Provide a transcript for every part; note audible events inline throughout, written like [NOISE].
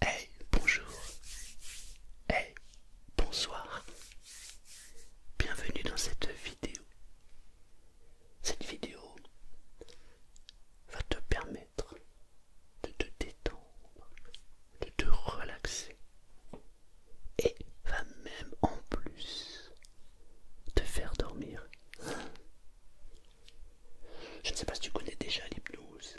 Hey, bonjour. Hey, bonsoir. Bienvenue dans cette vidéo. Cette vidéo va te permettre de te détendre, de te relaxer et va même en plus te faire dormir. Je ne sais pas si tu connais déjà l'hypnose.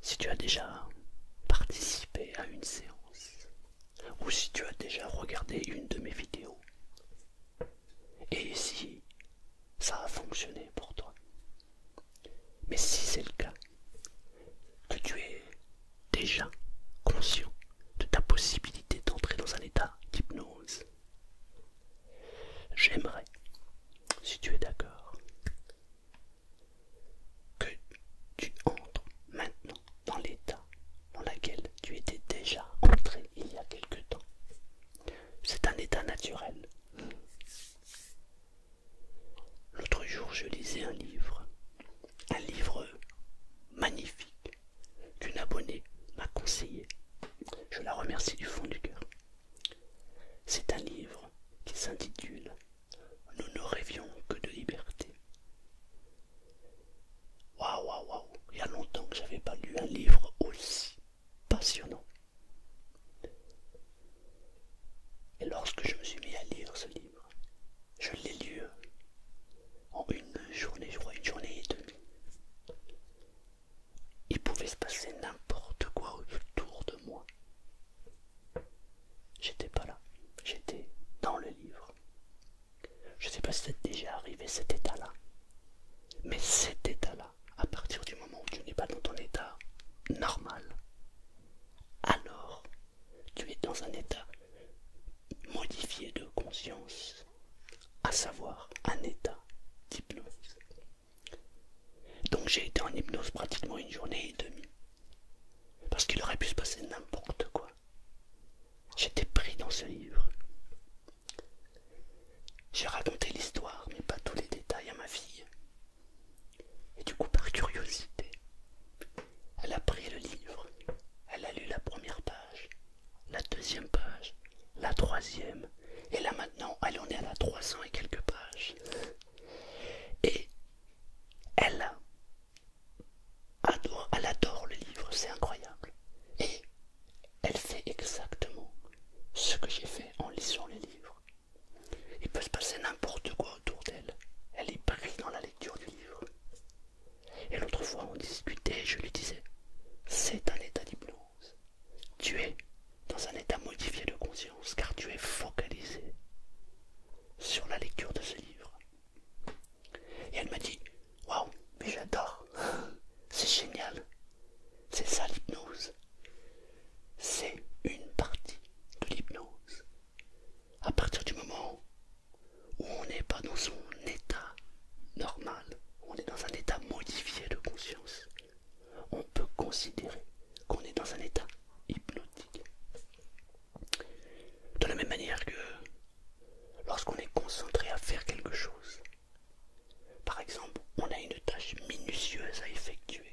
Si tu as déjà participé à une séance ou si tu as déjà regardé une de mes vidéos. Et si ça a fonctionné pour toi. Mais si c'est le cas, que tu es déjà conscient de ta possibilité d'entrer dans un état d'hypnose. J'aimerais, si tu es d'accord, que tu entres maintenant dans l'état dans lequel tu étais déjà entré il y a quelque temps. C'est un état naturel. L'autre jour, je lisais un livre, un livre magnifique qu'une abonnée m'a conseillé. Je la remercie du fond du cœur. C'est un livre qui s'intitule Nous ne rêvions que de liberté. Waouh, waouh, waouh, il y a longtemps que je n'avais pas lu un livre aussi passionnant. Et lorsque je me suis mis à lire ce livre, je l'ai lu en une journée, je crois, une journée et demie. Il pouvait se passer n'importe quoi autour de moi. J'étais pas là, j'étais dans le livre. Je sais pas si c'est déjà arrivé cet état-là, mais cet état-là, à partir du moment où tu n'es pas dans ton état normal, alors tu es dans un état modifié de conscience, à savoir un état d'hypnose. Donc j'ai été en hypnose pratiquement une journée et demie, parce qu'il aurait pu se passer n'importe quoi. J'étais pris dans ce livre. J'ai raconté l'histoire, mais pas tous les détails à ma fille. Et du coup, par curiosité, elle a pris le livre, elle a lu la première page, la deuxième page, la troisième, et là maintenant elle en est à la 300 et quelques pages. Et elle adore, le livre, c'est incroyable. Et elle fait exactement ce que j'ai fait en lisant le livres. Il peut se passer n'importe quoi autour d'elle. Elle est prise dans la du livre. Et l'autre fois, on discutait je lui disais C'est un état d'hypnose. Tu es dans un état modifié de conscience car tu es focalisé sur la lecture de ce livre. Et elle m'a dit Waouh, mais j'adore [LAUGHS] C'est génial C'est ça l'hypnose. C'est une partie de l'hypnose. À partir du moment où où on n'est pas dans son état normal, on est dans un état modifié de conscience, on peut considérer qu'on est dans un état hypnotique. De la même manière que lorsqu'on est concentré à faire quelque chose, par exemple, on a une tâche minutieuse à effectuer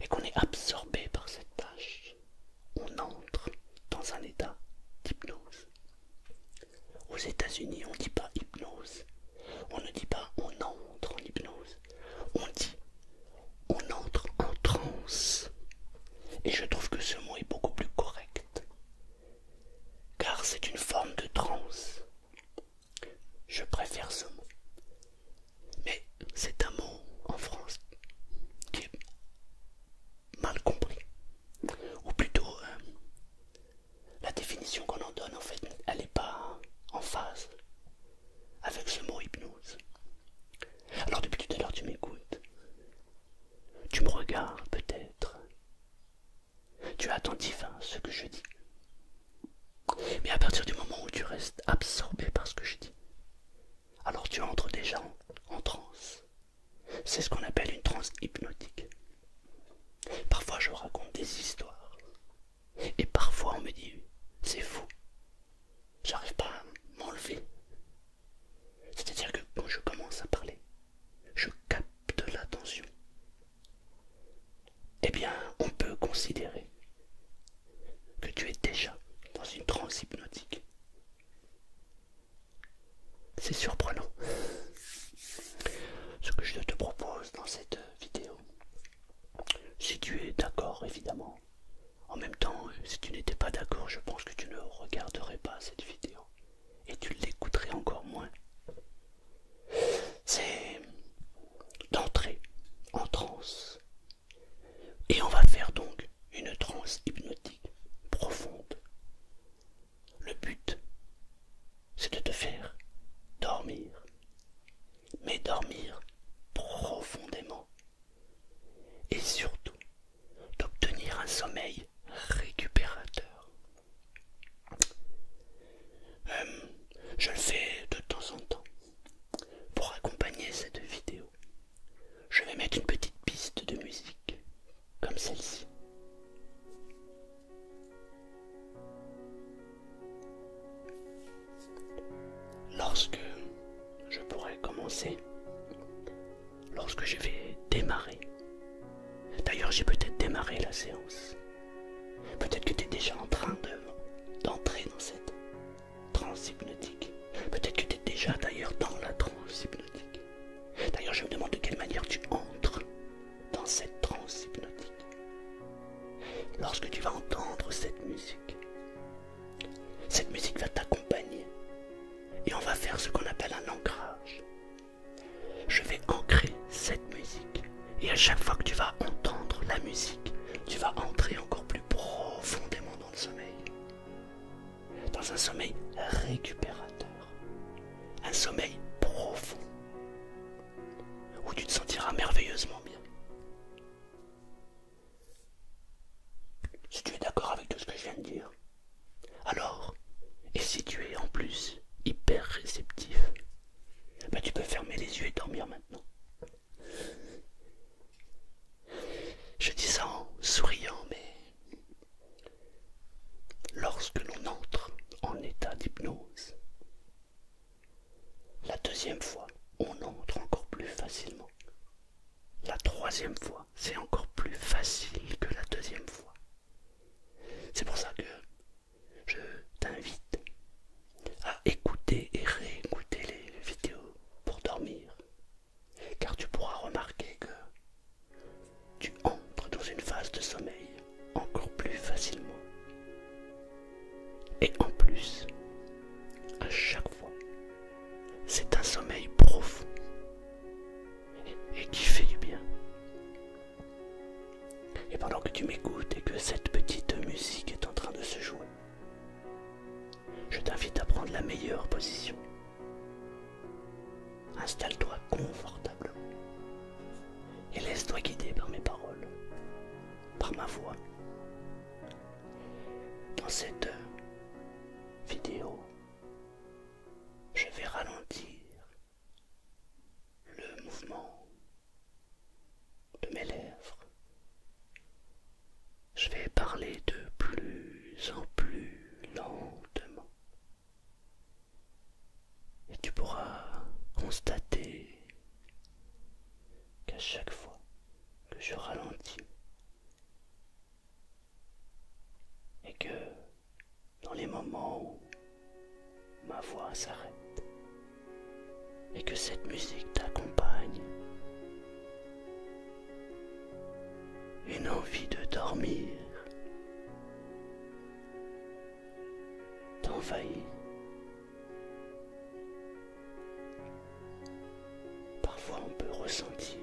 et qu'on est absorbé par cette tâche, on entre dans un état d'hypnose. Aux États-Unis, on ne dit pas hypnose, on ne dit pas on entre en hypnose, on dit on entre en transe. Et je trouve que ce mot est beaucoup plus correct, car c'est une forme de transe. Je préfère ce mot. Mais c'est un mot en France qui est mal compris. Ou plutôt, euh, la définition qu'on en donne, en fait, elle n'est pas en phase avec ce mot hypnose. Alors depuis tout à l'heure, tu m'écoutes. Tu me regardes peut-être. Tu es attentif à ce que je dis. Mais à partir du moment où tu restes absorbé par ce que je dis, alors tu entres déjà en, transe. C'est ce qu'on appelle une transe hypnotique. Parfois je raconte des histoires. Et parfois on me dit, c'est fou. J'arrive pas à m'enlever. C'est-à-dire que quand je commence à parler, je capte l'attention. Eh bien, on peut considérer que tu es déjà dans une transe hypnotique. C'est surprenant. Ce que je te propose dans cette vidéo, si tu es d'accord évidemment, en même temps, si tu n'étais pas d'accord, je pense que tu ne regarderais pas cette vidéo et tu l'écouterais encore moins. C'est d'entrer en transe et on va faire donc une transe hypnotique profonde. Le but, c'est de te faire dormir, mais dormir profondément. Et surtout, d'obtenir un sommeil récupérateur. Hum, je le fais de temps en temps pour accompagner cette vidéo. Je vais mettre une petite piste de musique comme celle-ci. Lorsque je pourrai commencer, lorsque je vais démarrer, d'ailleurs j'ai peut-être démarré la séance, peut-être que tu es déjà en train d'entrer dans cette Transhypnotique. hypnotique. Peut-être que tu es déjà d'ailleurs dans la transhypnotique. hypnotique. D'ailleurs, je me demande de quelle manière tu entres dans cette transhypnotique. Lorsque tu vas entendre cette musique, cette musique va t'accompagner et on va faire ce qu'on appelle un ancrage. Je vais ancrer cette musique et à chaque fois que tu vas entendre la musique, tu vas entrer encore plus profondément dans le sommeil dans un sommeil récupérateur, un sommeil profond, où tu te sentiras merveilleusement bien. Si tu es d'accord avec tout ce que je viens de dire, alors, et si tu es en plus hyper réceptif, bah, tu peux fermer les yeux et dormir maintenant. Je dis ça en souriant, mais lorsque l'on entre en état d'hypnose, la deuxième fois, on entre encore plus facilement. La troisième fois, c'est encore plus facile que la deuxième fois. C'est pour ça que je t'invite à écouter et réécouter les vidéos pour dormir car tu pourras remarquer que tu entres dans une phase de sommeil encore plus facilement. Et en plus, à chaque fois, c'est un sommeil profond et qui fait du bien. Et pendant que tu m'écoutes et que cette petite musique est en train de se jouer, je t'invite à prendre la meilleure position. Installe-toi confortablement et laisse-toi guider par mes paroles, par ma voix. Dans cette vidéo, je vais ralentir le mouvement de mes lèvres je vais parler de plus en plus lentement. Et tu pourras constater qu'à chaque fois que je ralentis et que dans les moments où ma voix s'arrête et que cette musique t'accompagne, une envie de dormir d'envahir, Parfois on peut ressentir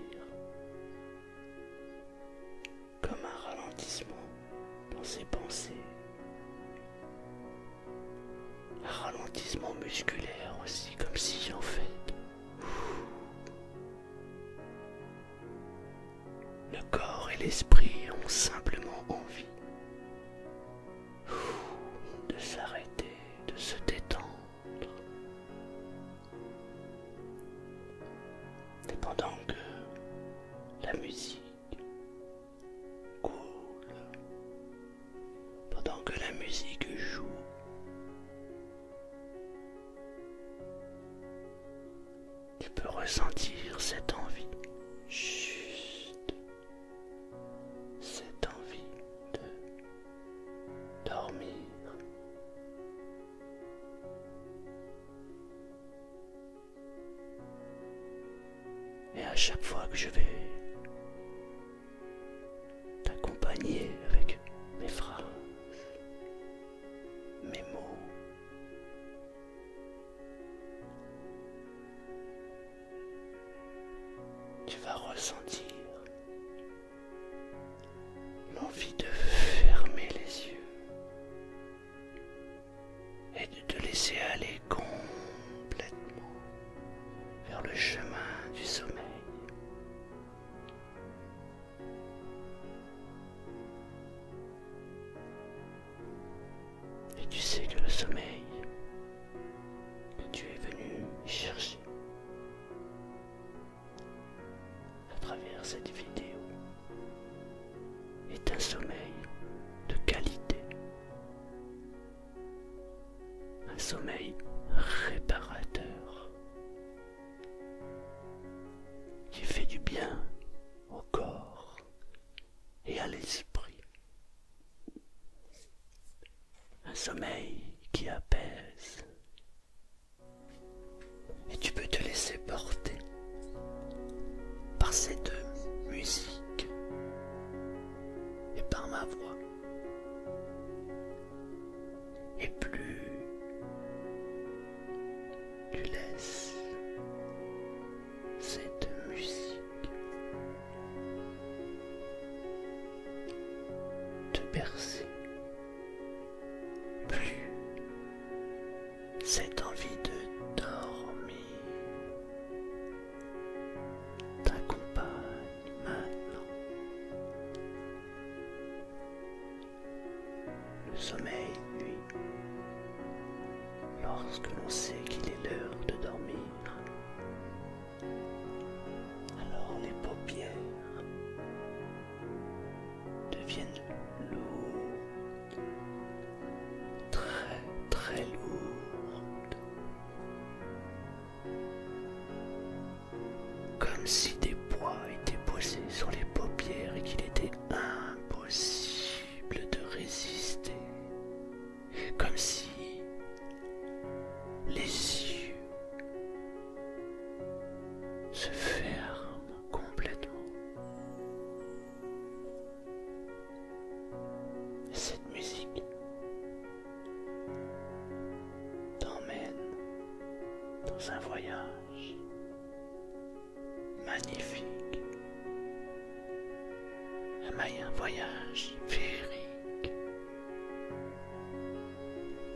comme un ralentissement dans ses pensées, un ralentissement musculaire aussi, comme si en fait le corps et l'esprit ont simplement envie de s'arrêter, de se détendre. Et pendant que la musique coule, pendant que la musique joue, tu peux ressentir cette envie, juste cette envie de dormir. Et à chaque fois que je vais t'accompagner avec mes phrases, mes mots. Tu vas ressentir l'envie de fermer les yeux et de te laisser aller complètement vers le chemin du sommeil. Et tu sais que le sommeil que tu es venu chercher à travers cette vidéo est un sommeil de qualité, un sommeil réparateur, qui fait du bien au corps et à l'esprit. Un sommeil qui apaise. Et tu peux te laisser porter par cette musique et par ma voix. Et plus tu laisses cette musique te bercer, plus cette envie de dormir t'accompagne maintenant le sommeil, lui, lorsque l'on sait qu'il est l'heure de dormir, alors les paupières deviennent lourdes, très très lourdes comme si des poids étaient posés sur les paupières et qu'il était impossible de résister, comme si les yeux se ferment complètement. Cette musique t'emmène dans un voyage magnifique, un voyage féerique.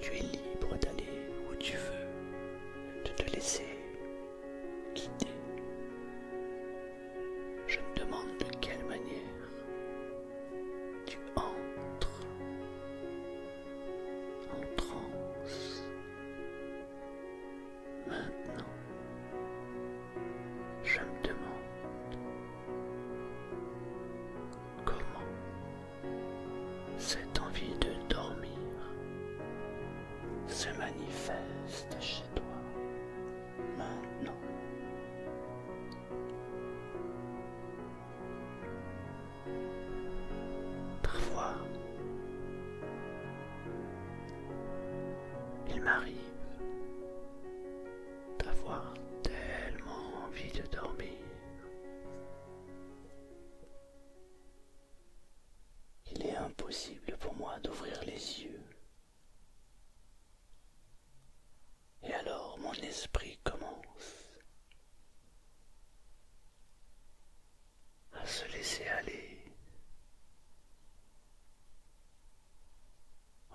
Tu es libre d'aller où tu veux, de te laisser guider. Je me demande de quelle manière tu entres en transe. Maintenant, je me demande comment cette envie de dormir se manifeste chez toi maintenant. Parfois, il m'arrive d'avoir tellement envie de dormir Il est impossible pour moi d'ouvrir les yeux. Et alors mon esprit commence à se laisser aller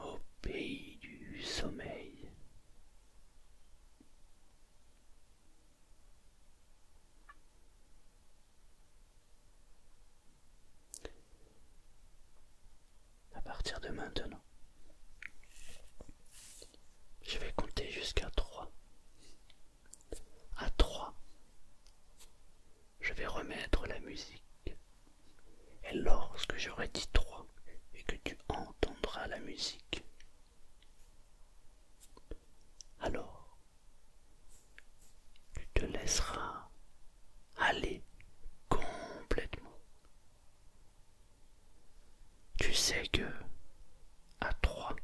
au pays du sommeil. À partir de maintenant, je vais compter jusqu'à 3. À 3, je vais remettre la musique. Et lorsque j'aurai dit 3 et que tu entendras la musique, alors tu te laisseras aller complètement tu sais que à trois,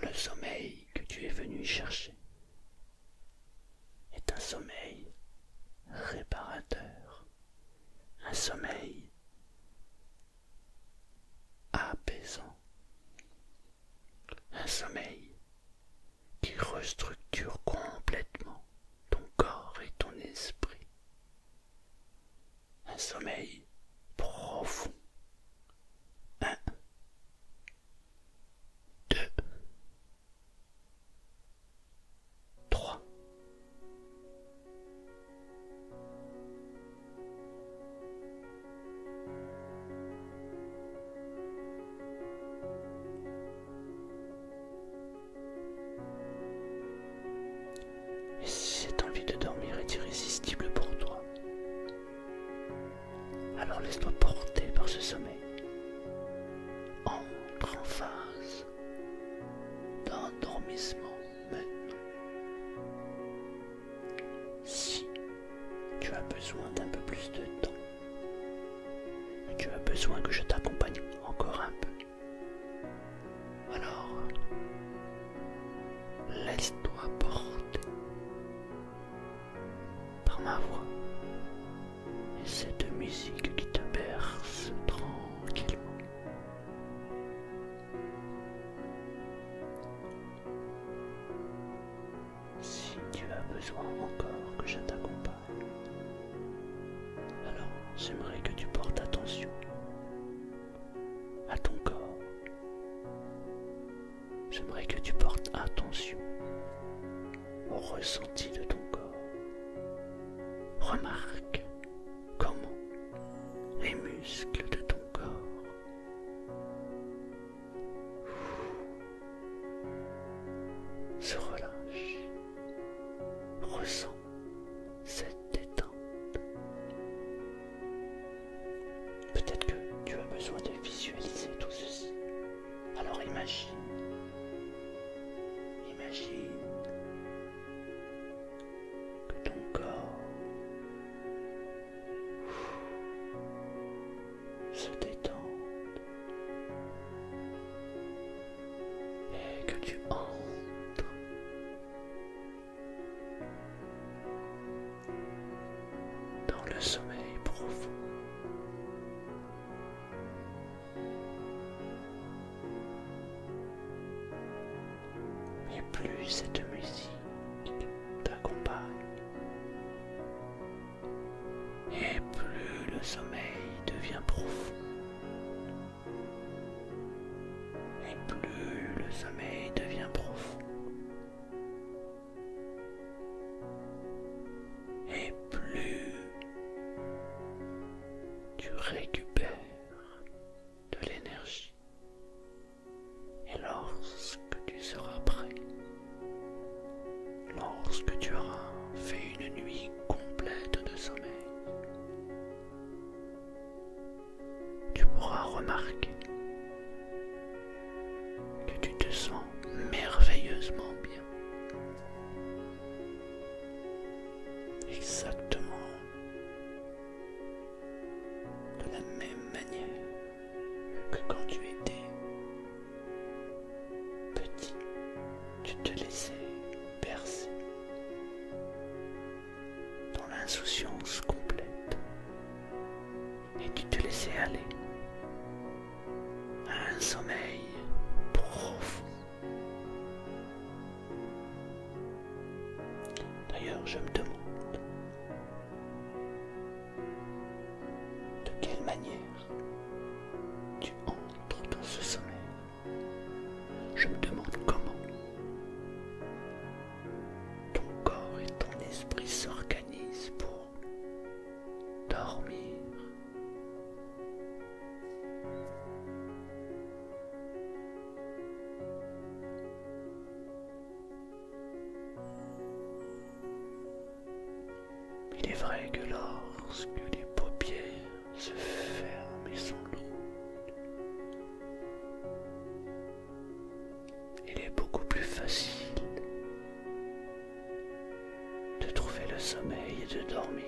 le sommeil que tu es venu chercher est un sommeil réparateur, un sommeil apaisant, un sommeil qui restructure complètement ton corps et ton esprit un sommeil profond. Un, deux, trois. Et si cette envie de dormir est irrésistible pour toi, alors laisse-toi porter par ce sommeil. Entre en phase d'endormissement maintenant. Si tu as besoin d'un peu plus de temps tu as besoin que je t'accompagne encore un peu, alors, laisse-toi porter par ma voix et cette musique qui te berce tranquillement. Si tu as besoin encore que je t'accompagne, alors j'aimerais que tu portes attention à ton corps. J'aimerais que tu portes attention au ressenti de ton corps. Remarque comment les muscles de ton corps se relâchent. ressent cette détente. Peut-être que tu as besoin de visualiser tout ceci. Alors imagine, imagine que ton corps se détente et que tu entres dans le sommeil profond. Et plus cette musique t'accompagne, et plus le sommeil devient profond et plus le sommeil devient profond. Et plus tu récupères de l'énergie. Et lorsque tu seras prêt, lorsque tu auras fait une nuit complète de sommeil, tu pourras remarquer que tu te sens merveilleusement bien. Exactement de la même manière que quand tu étais petit, tu te laissais percer dans l'insouciance complète et tu te laissais aller à un sommeil profond. D'ailleurs, je me demande de quelle manière tu entres dans ce sommeil. Je me demande comment. Ton corps et ton esprit s'organisent pour dormir. Il est vrai que lorsque les paupières se ferment et sont lourdes, il est beaucoup plus facile de trouver le sommeil et de dormir.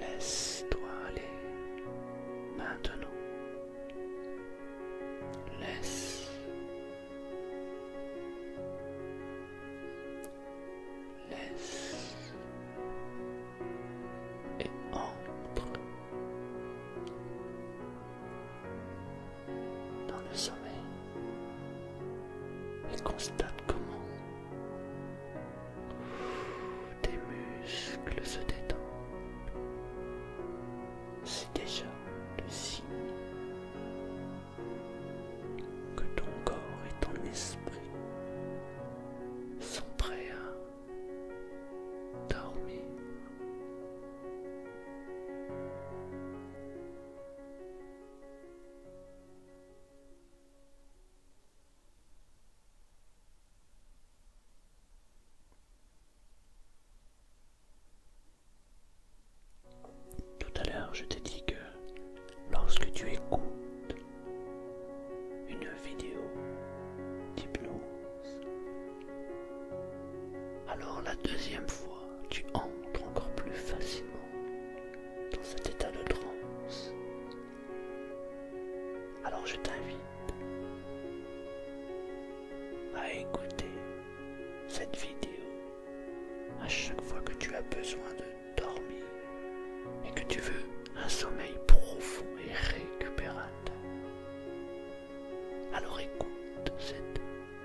Laisse-toi aller maintenant. Laisse laisse et entre dans le sommeil et constate comment tes muscles se détendent déjà le signe que ton corps et ton esprit sont prêts à dormir. Tout à l'heure, je t'ai dit que lorsque tu écoutes une vidéo d'hypnose, alors la deuxième fois, tu entres encore plus facilement dans cet état de transe. Alors je t'invite à écouter cette vidéo à chaque fois que tu as besoin de dormir et que tu veux un sommeil profond et récupérateur, alors écoute cette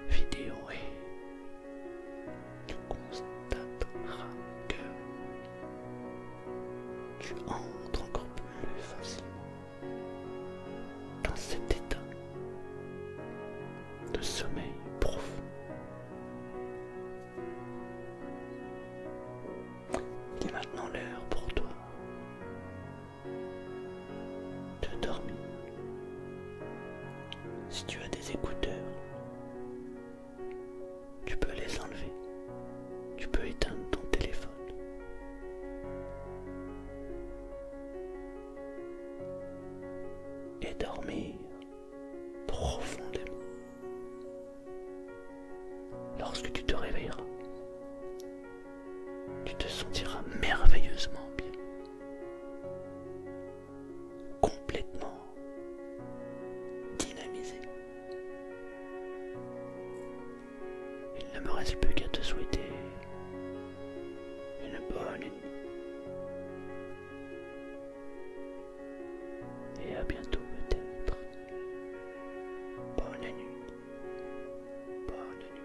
vidéo et tu constateras que tu entres encore plus facilement dans cet état de sommeil profond. Il est maintenant l'heure pour toi de dormir. Si tu as des écouteurs, tu peux les enlever. Tu peux éteindre ton téléphone et dormir profondément. Lorsque tu te réveilleras, tu te sentiras merveilleusement bien, complètement dynamisé. Il ne me reste plus qu'à te souhaiter une bonne et à bientôt peut-être. Bonne nuit. Bonne nuit.